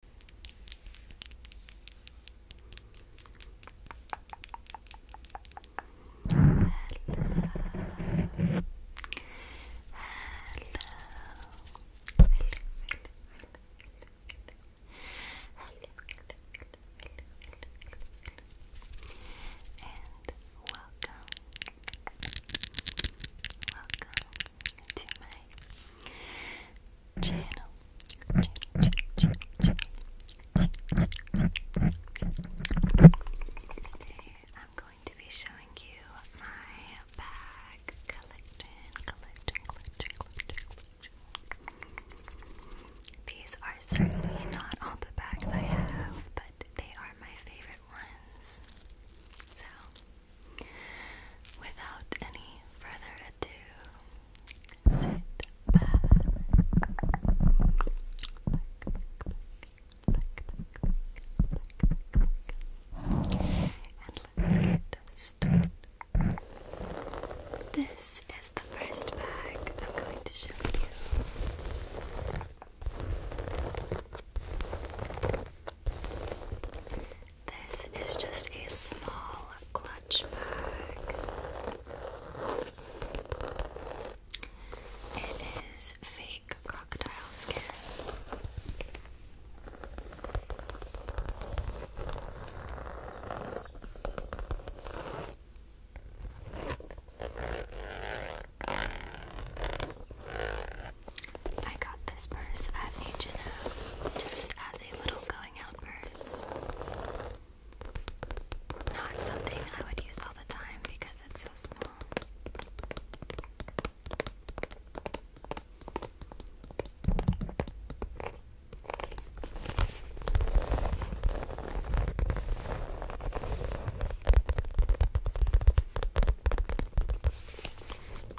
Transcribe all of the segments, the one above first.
Hello. Hello. Hello, and welcome, welcome to my Channel, I'm going to be showing you my bag collection. These are certainly not all the bags I have, but they are my favorite ones. So Without any further ado, sit back. And let's get started. This is the first bag I'm going to show you. This is just a small clutch bag. It is fake crocodile skin. I got this purse at H&M just as a little not something I would use all the time because it's so small.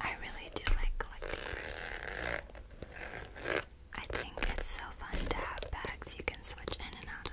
I really do like collecting I think it's so fun to have bags you can switch in and out of.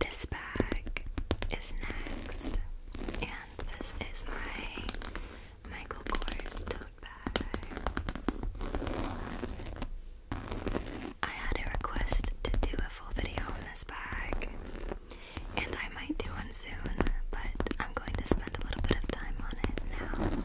This bag is next, and this is my Michael Kors tote bag. I had a request to do a full video on this bag, and I might do one soon, but I'm going to spend a little bit of time on it now.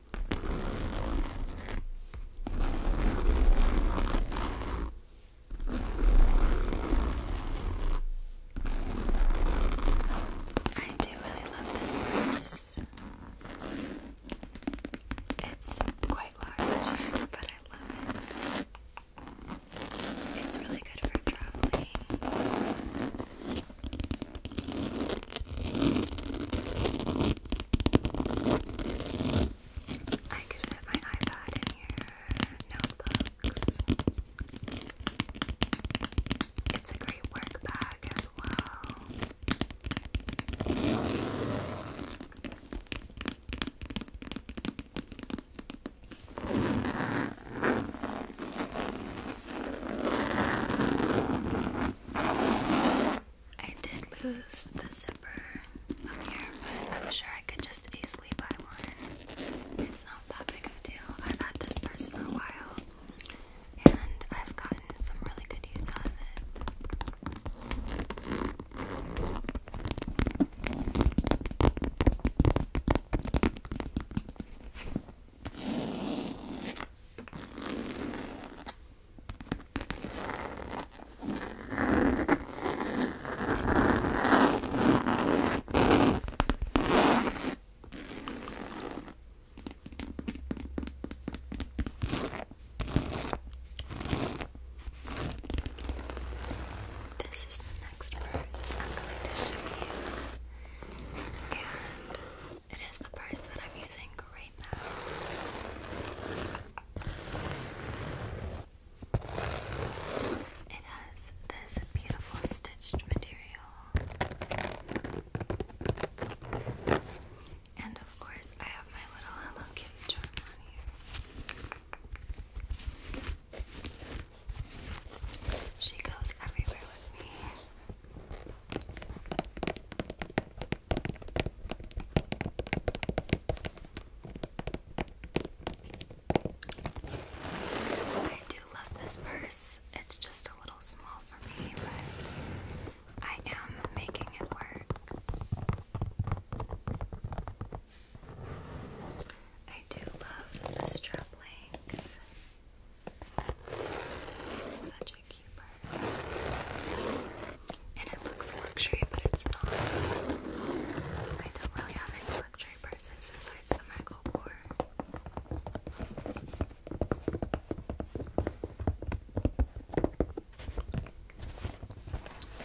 I do really love this purse. It's quite large, but I love it. It's really good for traveling. I could fit my iPad in your notebooks. It's a great work bag as well. I did lose the zipper up here, but I'm sure I could just easily buy one. It's not that big of a deal. I've had this purse for a while, and I've gotten some really good use out of it. This is the next purse I'm going to show you, and it is the purse that I'm using right it has this beautiful stitched material. And of course, I have my little Hello Kitty charm here. She goes everywhere with me. I do love this purse. It's just a little small for me, but I am making it work. I do love the strap link. It's such a and it looks luxury, but it's not. I don't really have any luxury purses besides the Michael Kors.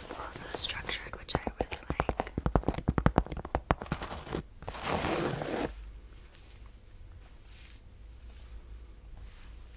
It's also structured, which I really like.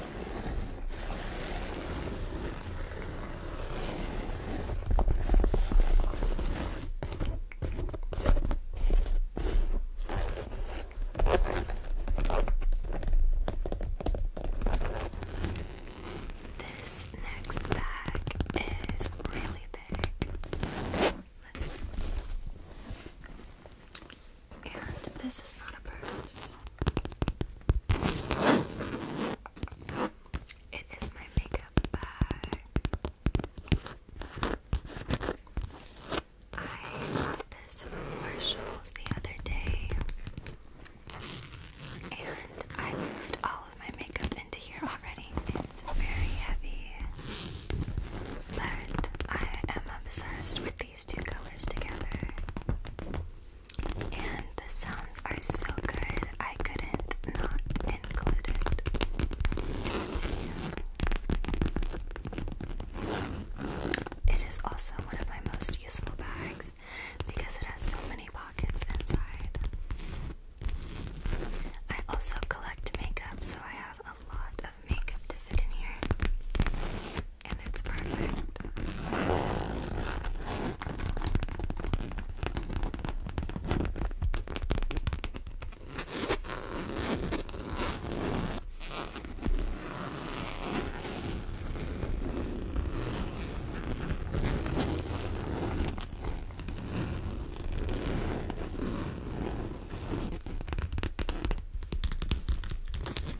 This next bag is really big. And this is not a purse. It is my makeup bag. I got this from Marshalls the other day, and I moved all of my makeup into here already. It's very heavy, but I am obsessed with these two colors together and the sounds are so good, I couldn't not include it It is also one of my most useful bags because it has so many pockets inside. I also collect makeup, so I have a lot of makeup to fit in here and it's perfect.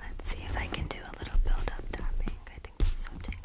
Let's see if I can do a little build up tapping. I think that's so tingly.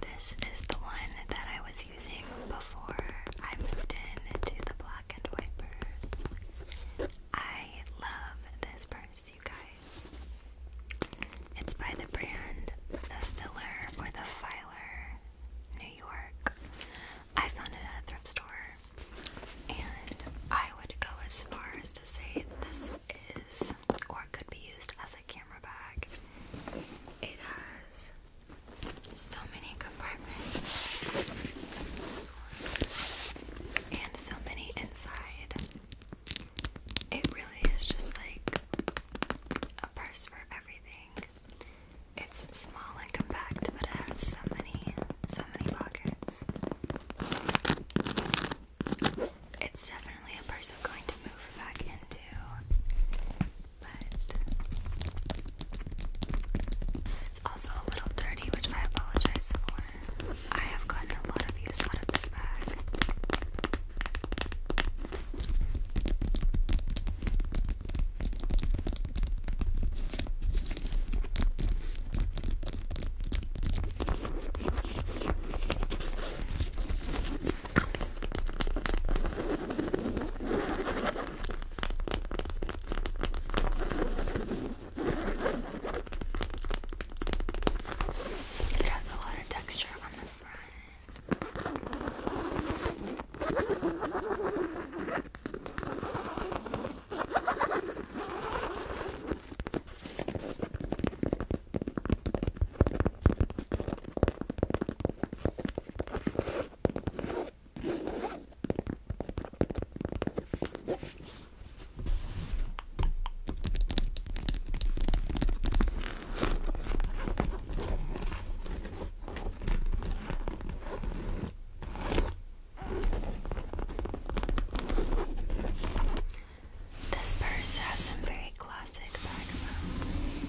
This is the one that I was using before I moved in to the black and white I love this purse, you guys. It's by the brand The Filler or The Filer New York. I found it at a thrift store, and I would go as far as to say this is or could be used as a camera. It has so many compartments. And so many inside. It really is just like a purse for everything. It's small and compact, but it has so many, so many pockets. It's different definitely a person going to move back into. But it's also a little dirty, which I apologize for. I have gotten a lot of use out of this bag. It has a lot of texture on the front. This purse has some very very classic bag sounds.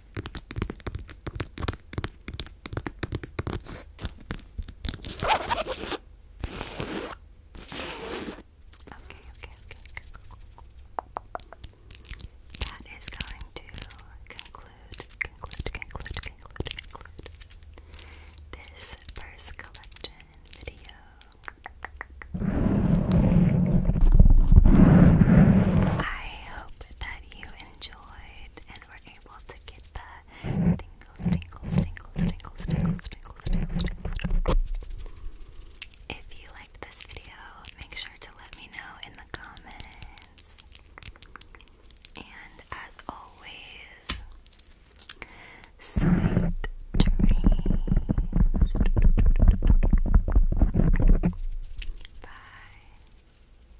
Okay, okay, okay. That is going to conclude, conclude, conclude, conclude, conclude this first collection video. I hope that you enjoyed and were able to get the tingles, tingles, tingles, tingles, tingles, tingles, tingles, tingles. If you liked this video, make sure to let me know in the comments. And as always, sweet dreams. Bye.